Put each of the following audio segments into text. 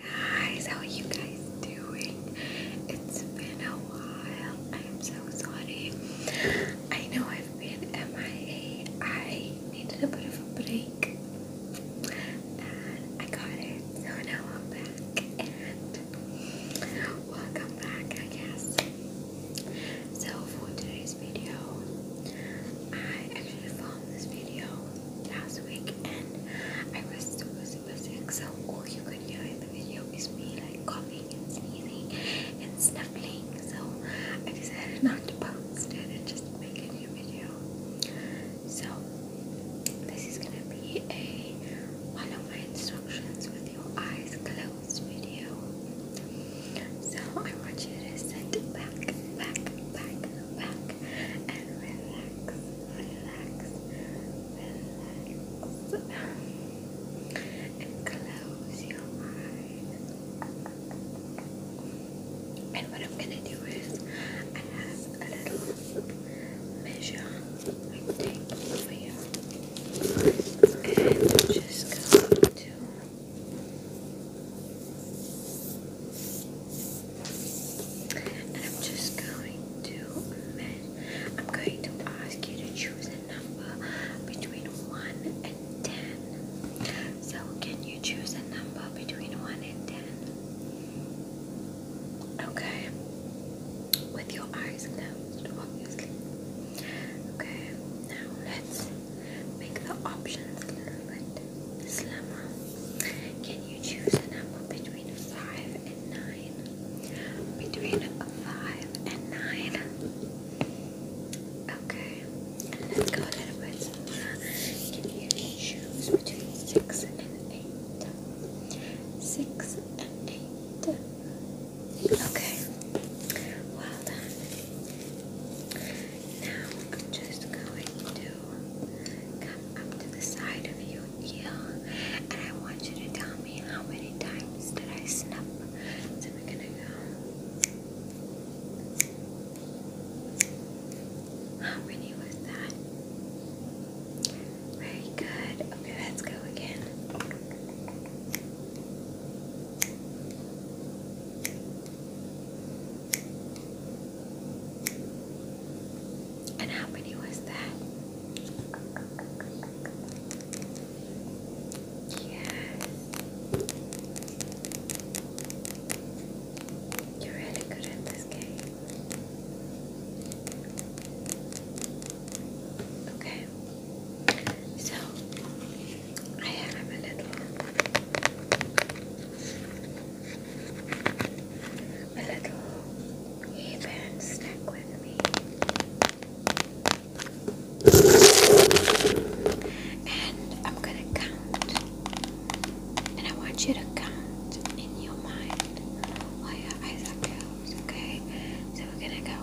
Guys, how you guys doing? It's been a while. I am so sorry. I know I've been MIA. I needed a bit of a break and I got it. So now I'm back and welcome back, I guess. So for today's video, I actually this video last week and I was super super sick so all you could hear in the video is me like coughing and sneezing and sniffling. so I decided not to post it and just make a new video so this is gonna be a one of my instructions with your eyes closed video so I want you to sit back back back back and relax, relax, relax. And close your eyes. And what I'm gonna do is I have a little measure I take for you, And just go to I'm just going to I'm going to ask you to choose a number between 1 and 10. So can you choose a number between 1 and 10? Okay. With your eyes closed, obviously. Okay, now let's make the options a little bit Slammer. Can you choose a number between 5 and 9? Between 5 and 9. Okay. let's go a little bit smaller. Can you choose between 6 and 8? 6 and 8. Okay. Well done. Now I'm just going to come up to the side of your ear and I want you to tell me how many times did I snuff. So we're gonna go. How many was that? Very good. Okay, let's go again. And how many was that? Yeah. You're really good at this game. Okay. So I have a little a little hairband snack with me. And I'm gonna count. And I want you to count in your mind while your eyes okay? So we're gonna go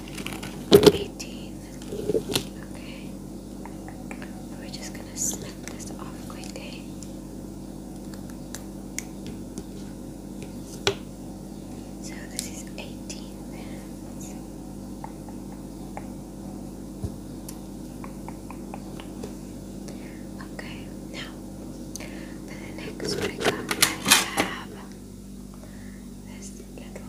18. Okay. We're just gonna snip this off quickly. Eh? So this is 18 Okay, now for the next trigger I this little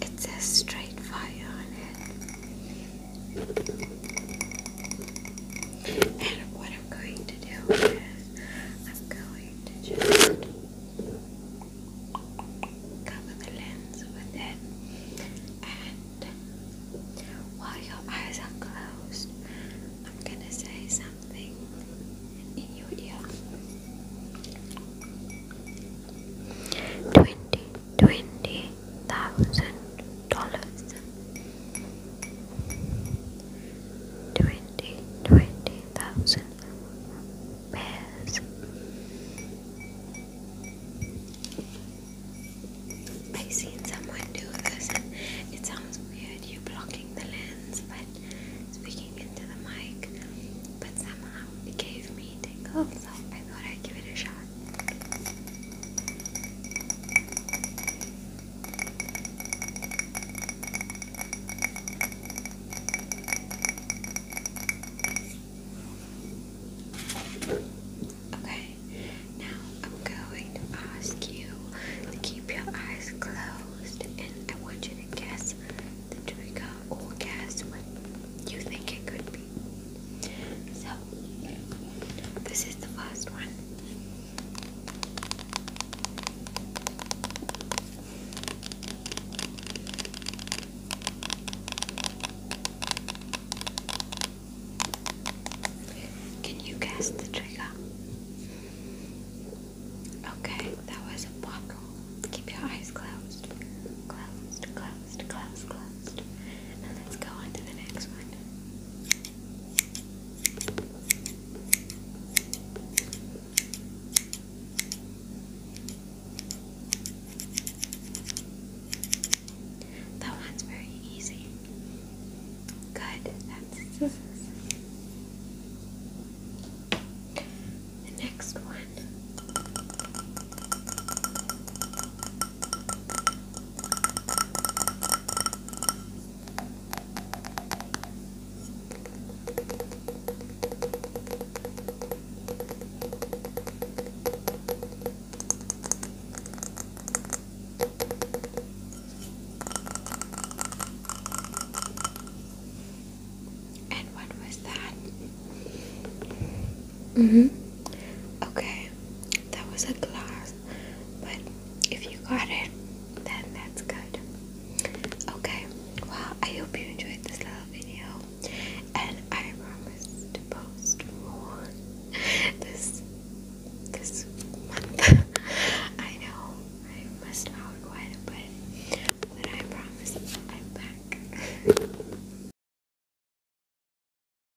It says straight fire on it. And what I'm going to do is I'm going to just cover the lens with it and while your eyes are closed I'm gonna say something in your ear 20 dollars Twenty, twenty thousand pairs. I've someone do this. It sounds weird, you're blocking the lens, but speaking into the mic. But somehow it gave me tingles, so I thought I'd give it a shot. Okay, now I'm going to ask you to keep your eyes closed and I want you to guess the trigger or guess what you think it could be. So, this is the first one. Can you guess the trigger? Okay, that was a bottle. Keep your eyes closed. Closed, closed, closed, closed. Now let's go on to the next one. That one's very easy. Good. That's the next one. And what was that? Mm-hmm. Okay, that was a glass. but if you got it, then that's good. Okay, well, I hope you enjoyed this little video, and I promise to post more this this month. I know I missed out quite a but I promise I'm back.